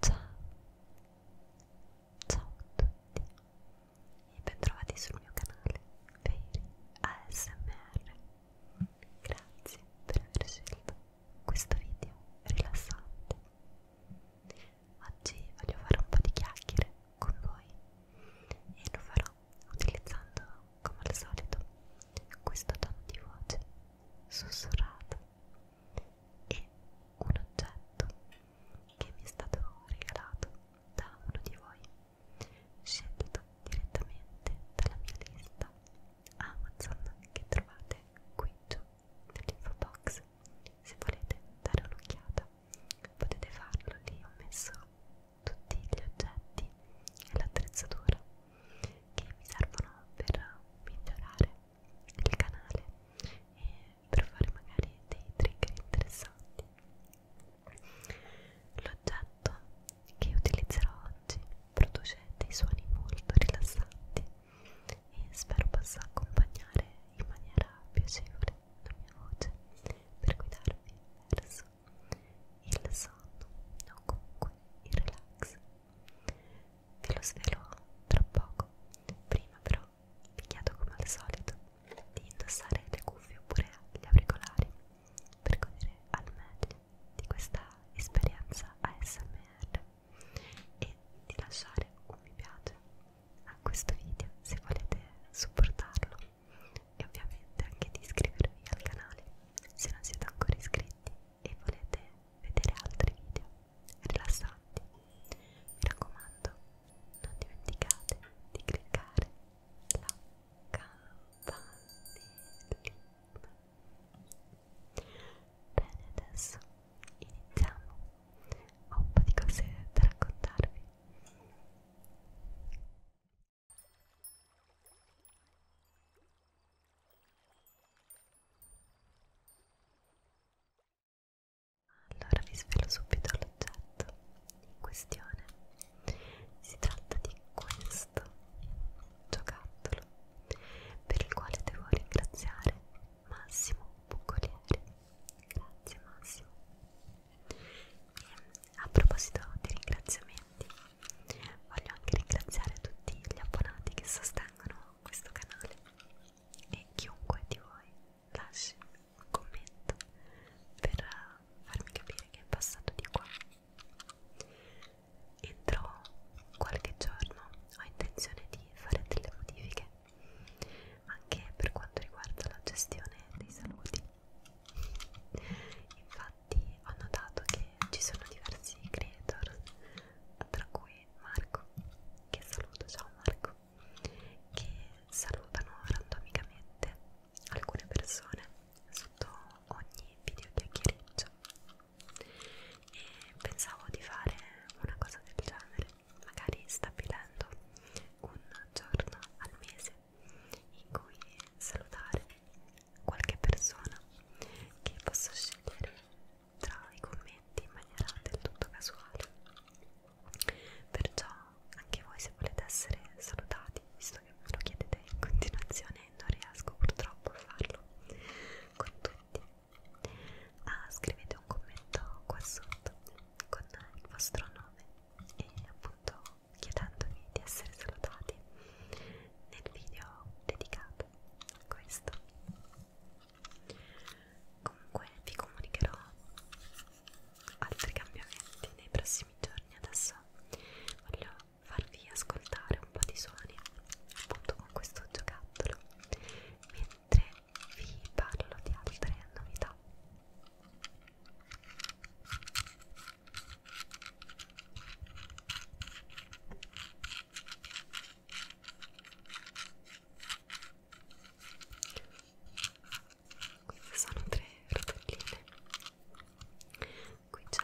Ciao, ciao a tutti e bentrovati sul mio canale Veri ASMR. Grazie per aver scelto questo video rilassante. Oggi voglio fare un po' di chiacchiere con voi e lo farò utilizzando, come al solito, questo tono di voce sussurrato e un oggetto che mi è stato regalato da uno di voi, scelto direttamente dalla mia lista Amazon che trovate qui giù dell'info box se volete dare un'occhiata potete farlo lì ho messo tutti gli oggetti e l'attrezzatura che mi servono per migliorare il canale e per fare magari dei trigger interessanti l'oggetto che utilizzerò oggi produce dei suoni molto rilassanti e spero possa accompagnare in maniera piacevole la mia voce per guidarvi verso il sonno o comunque il relax ve lo svelo tra poco prima però vi chiedo come al solito di indossare le cuffie oppure gli auricolari per godere al meglio di questa esperienza ASMR e di lasciare un mi piace a questo video se volete supportarlo e ovviamente anche di iscrivervi al canale se non siete ancora iscritti e volete vedere altri video rilassanti mi raccomando non dimenticate di cliccare la campanellina bene adesso iniziamo ho un po' di cose da raccontarvi. Allora vi svelo subito l'oggetto in questione. Si tratta di questo giocattolo per il quale devo ringraziare Massimo Buccoliere grazie Massimo e a proposito di ringraziamenti voglio anche ringraziare tutti gli abbonati che sostengono questo canale e chiunque di voi lasci un commento per farmi capire che è passato di qua entro qualche giorno ho intenzione di fare delle modifiche anche per quanto riguarda la gestione dei saluti. Infatti ho notato che ci sono diversi creator, tra cui Marco, che saluto, ciao Marco, che salutano randomicamente alcune persone sotto ogni video chiacchiereggio e pensavo di fare una cosa del genere, magari stabilendo un giorno al mese in cui salutare qualche persona che posso scegliere tra i commenti in maniera del tutto casuale. Perciò anche voi se volete essere salutati, visto che me lo chiedete in continuazione non riesco purtroppo a farlo con tutti ah, scrivete un commento qua sotto con il vostro nome e appunto chiedendomi di essere salutati nel video dedicato a questo comunque vi comunicherò altri cambiamenti nei prossimi giorni adesso voglio farvi ascoltare un po' di suoni appunto con questo giocattolo mentre vi parlo di altre novità queste sono tre rotelline qui c'è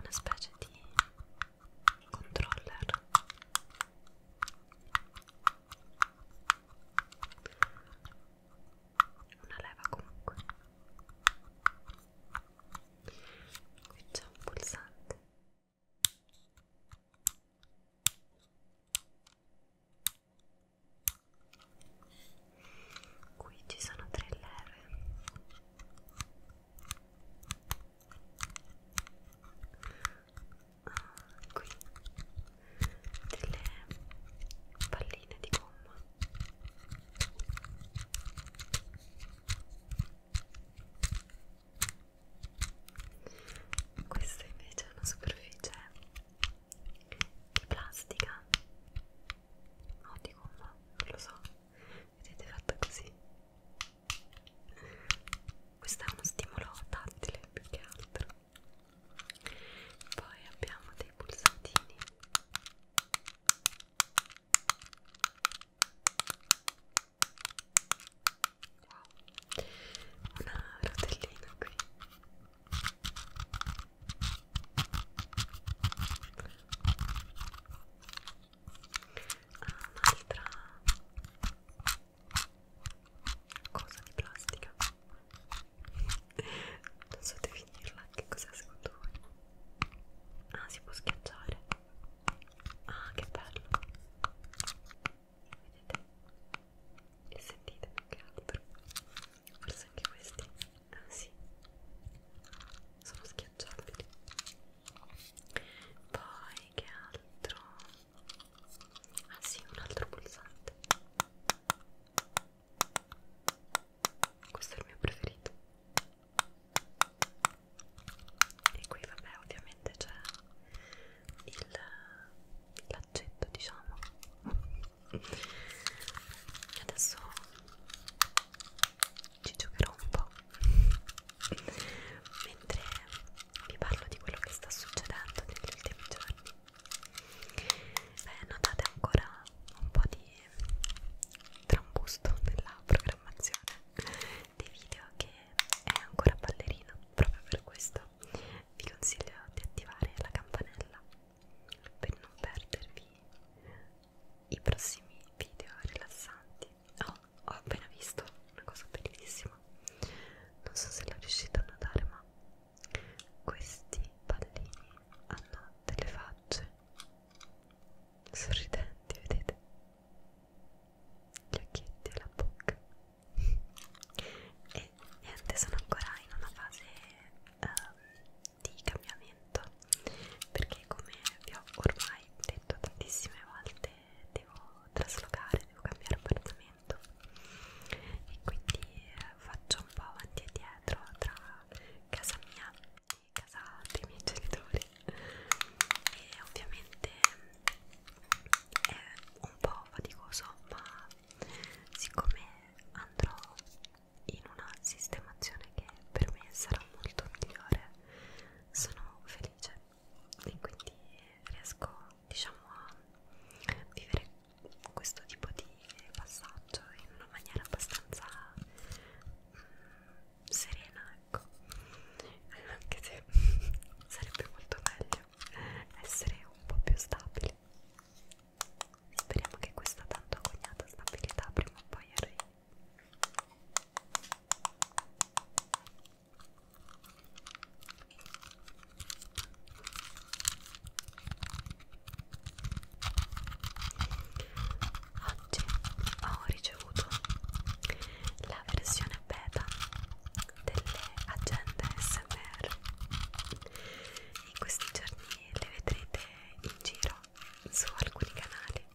una specie di controller una leva comunque qui c'è un pulsante qui ci sono tre leve qui delle palline di gomma questa invece è una superficie di plastica o no, di gomma, non lo so vedete fatta così questo è uno stimolo tattile più che altro poi abbiamo dei pulsantini wow una rotellina qui ha un'altra cosa di plastica non so definirla che cos'è secondo voi ah si può schiacciare ah che bello vedete e sentite che albero forse anche questi Ah sì, sono schiacciabili. Poi che altro? Ah sì, un altro pulsante. Questo è il mio preferito. E qui vabbè ovviamente c'è il l'accetto diciamo. Adesso ci giocherò un po' mentre vi parlo di quello che sta succedendo negli ultimi giorni Beh, notate ancora un po' di trambusto nella programmazione dei video che è ancora ballerino proprio per questo vi consiglio di attivare la campanella per non perdervi i prossimi video rilassanti oh, ho appena visto una cosa bellissima non so se l'ho riuscito a notare ma questi pallini hanno delle facce sorridenti vedete gli occhietti e la bocca e niente sono ancora in una fase um, di cambiamento perché come vi ho ormai detto tantissime volte devo traslocare, devo cambiare appartamento e quindi eh, faccio un po' avanti e dietro tra casa mia e casa dei miei genitori e ovviamente è un po' faticoso ma siccome andrò in una sistemazione che per me sarà molto migliore sono felice e quindi riesco diciamo a vivere questo tipo di passaggio in una maniera abbastanza mm, serena ecco anche se sarebbe molto meglio essere un po' più stabili Speriamo che questa tanto agognata stabilità prima o poi arrivi. Oggi ho ricevuto la versione beta delle agende SMR. In questi giorni le vedrete in giro su alcuni canali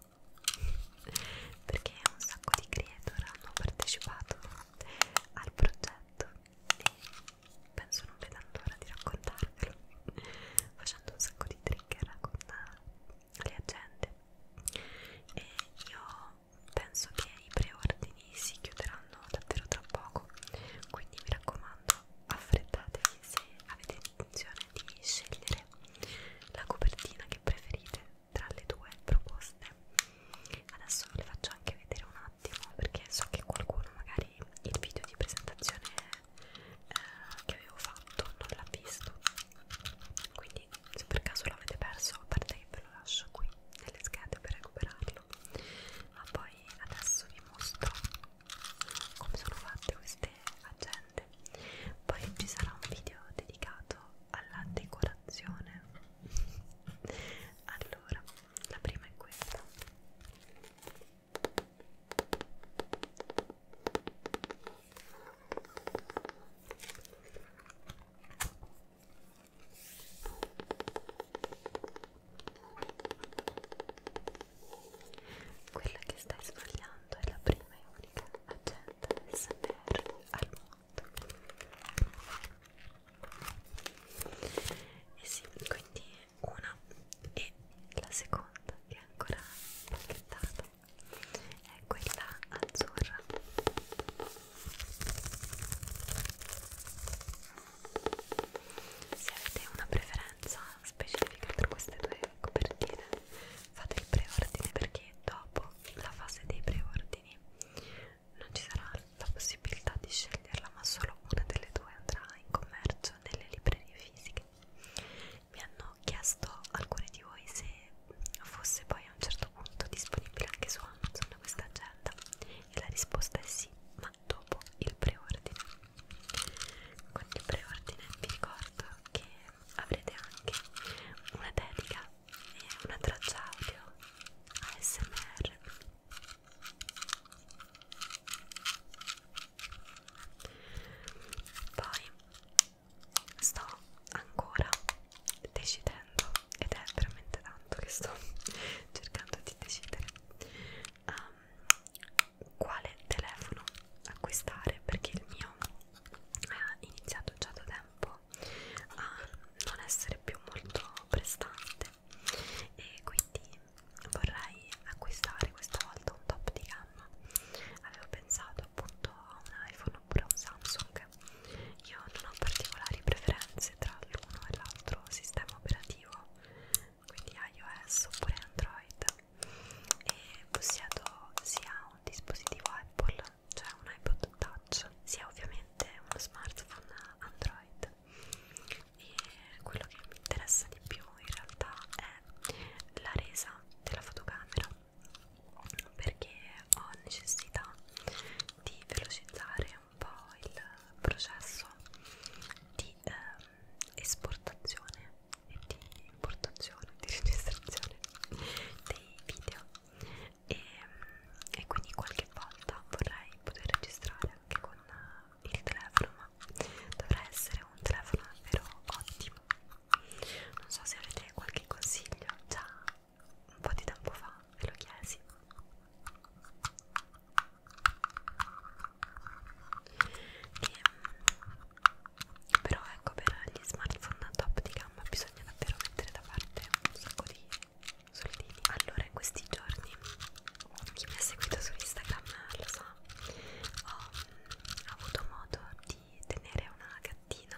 perché un sacco di creator hanno partecipato al progetto e penso non vedano l'ora di raccontarvelo facendo un sacco di trigger con le agende e io penso che i preordini si chiuderanno davvero tra poco quindi mi raccomando affrettatevi se avete intenzione di scegliere la copertina che preferite tra le due proposte adesso ve le faccio anche vedere un attimo perché so che qualcuno magari il video di presentazione eh, che avevo fatto non l'ha visto quindi se per caso l'avete perso a parte che ve lo lascio qui nelle schede per recuperarlo buono ma poi adesso vi mostro come sono fatte queste agende poi ci sarà un video dedicato alla decorazione allora la prima è questa quella che stai sbagliando è la prima e unica agenda del SMR al mondo. E sì, quindi una e la seconda che è ancora pacchettata è quella azzurra se avete una preferenza specifica per queste due copertine fate il preordine perché dopo la fase dei preordini non ci sarà la possibilità di sceglierla ma solo una delle due andrà in commercio nelle librerie fisiche mi hanno chiesto alcuni di voi se fosse poi a un certo punto disponibile anche su Amazon questa agenda e la risposta è sì ma ma dopo il preordine con il preordine vi ricordo che avrete anche una dedica e una traccia audio ASMR poi sto ancora decidendo ed è veramente tanto che sto cercando di decidere um, quale telefono acquistare perché il mio eh, ha iniziato già da tempo a non essere più molto prestante e quindi vorrei acquistare questa volta un top di gamma avevo pensato appunto a un iPhone oppure a un Samsung io non ho particolari preferenze tra l'uno e l'altro sistema operativo quindi iOS oppure Android e possiedo sia un dispositivo Apple, cioè un iPod Touch, sia ovviamente uno smartphone Android e quello che mi interessa di più in realtà è la resa della fotocamera perché ho necessità di velocizzare un po' il processo di eh, esportazione e di importazione, di registrazione dei video e, e quindi qualche volta vorrei poter registrare anche con il telefono ma dovrà essere un telefono davvero ottimo non so se avete qualche consiglio già un po' di tempo fa ve lo chiesi e, ehm, però ecco per gli smartphone a top di gamma bisogna davvero mettere da parte un sacco di soldini allora in questi giorni chi mi ha seguito su Instagram lo sa so, ho avuto modo di tenere una gattina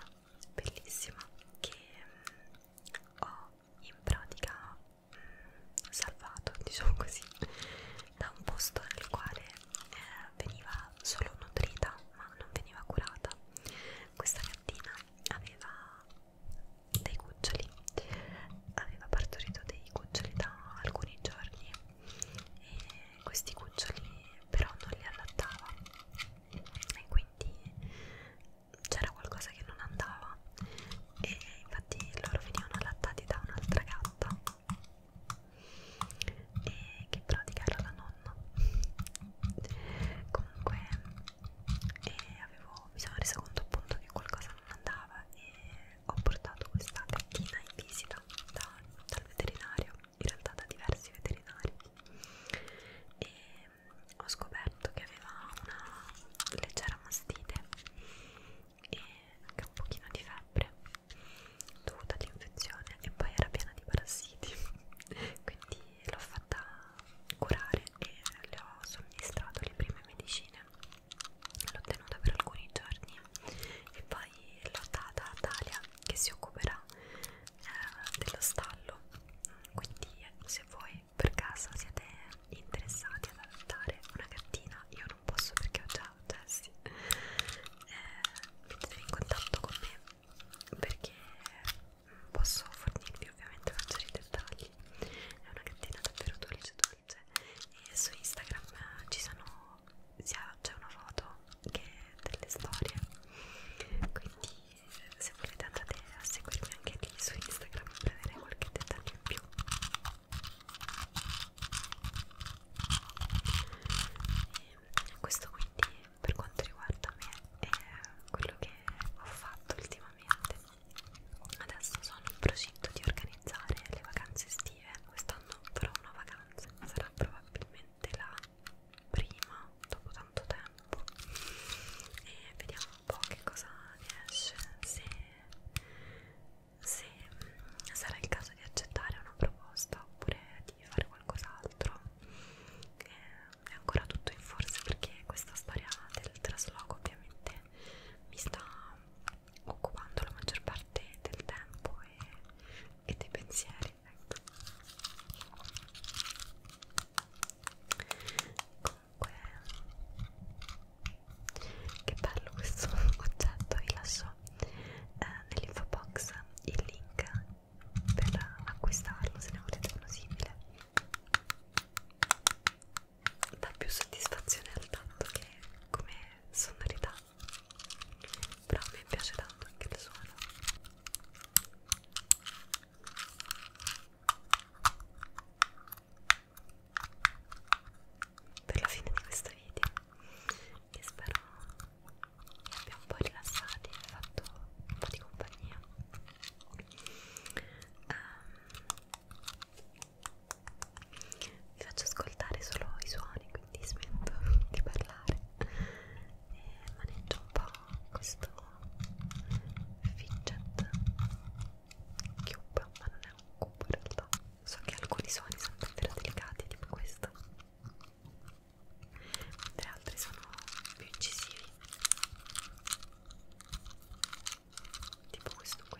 bellissima che mm, ho in pratica salvato, diciamo così, da un posto nel quale eh, veniva solo nutrita ma non veniva curata. Questa gattina aveva dei cuccioli, aveva partorito dei cuccioli da alcuni giorni e questi cuccioli però non li allattava e quindi c'era qualcosa che non andava e infatti loro venivano allattati da un'altra gatta e che in pratica era la nonna comunque e avevo, mi sono resa conto appunto che qualcosa non andava e ho portato questa gattina in visita da, dal veterinario in realtà da diversi veterinari e ho scoperto che aveva una leggera mastite e anche un pochino di febbre dovuta all'infezione e poi era piena di parassiti quindi l'ho fatta curare e le ho somministrato le prime medicine l'ho tenuta per alcuni giorni e poi l'ho data a Dalia che si occuperà eh, dello stallo quindi se voi per caso siete interessati ad adottare una gattina, io non posso perché ho già un Jessie, eh, mettetevi in contatto con me perché posso fornirvi ovviamente maggiori dettagli. È una gattina davvero dolce dolce e su Instagram ci sono c'è una foto che delle storie quindi se volete andate a seguirmi anche lì su Instagram per avere qualche dettaglio in più e questo quindi per quanto riguarda me è quello che ho fatto ultimamente adesso sono in procinto di organizzare le vacanze estive quest'anno farò una vacanza sarà probabilmente la prima dopo tanto tempo e vediamo un po' che cosa ne esce se, se mm, sarà il caso di accettare una proposta oppure di fare qualcos'altro è ancora tutto in forza perché questa storia del trasloco ovviamente mi sta occupando la maggior parte del tempo e, e dei pensieri ecco comunque che bello questo oggetto vi lascio eh, nell'info box il link per acquistarlo se ne volete uno simile dà più soddisfazione al tanto che come sonorità però a me piace tanto anche il suono per la fine di questo video che spero vi abbia un po' rilassati e fatto un po' di compagnia um, vi faccio ascoltare solo i suoni quindi smetto di parlare e maneggio un po' questo fidget cube, ma non è un cubo in realtà so che alcuni suoni sono davvero delicati tipo questo mentre altri sono più incisivi tipo questo qui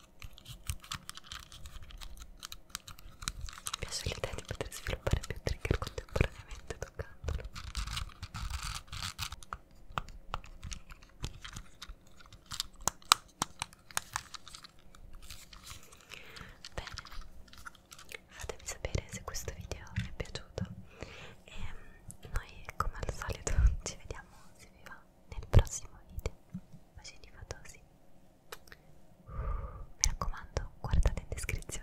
Mi piace l'idea di poter sviluppare più trigger contemporaneamente toccandolo. Bene, fatemi sapere se questo video vi è piaciuto e noi come al solito ci vediamo se vi va nel prossimo video bacini fatosi uh, mi raccomando guardate in descrizione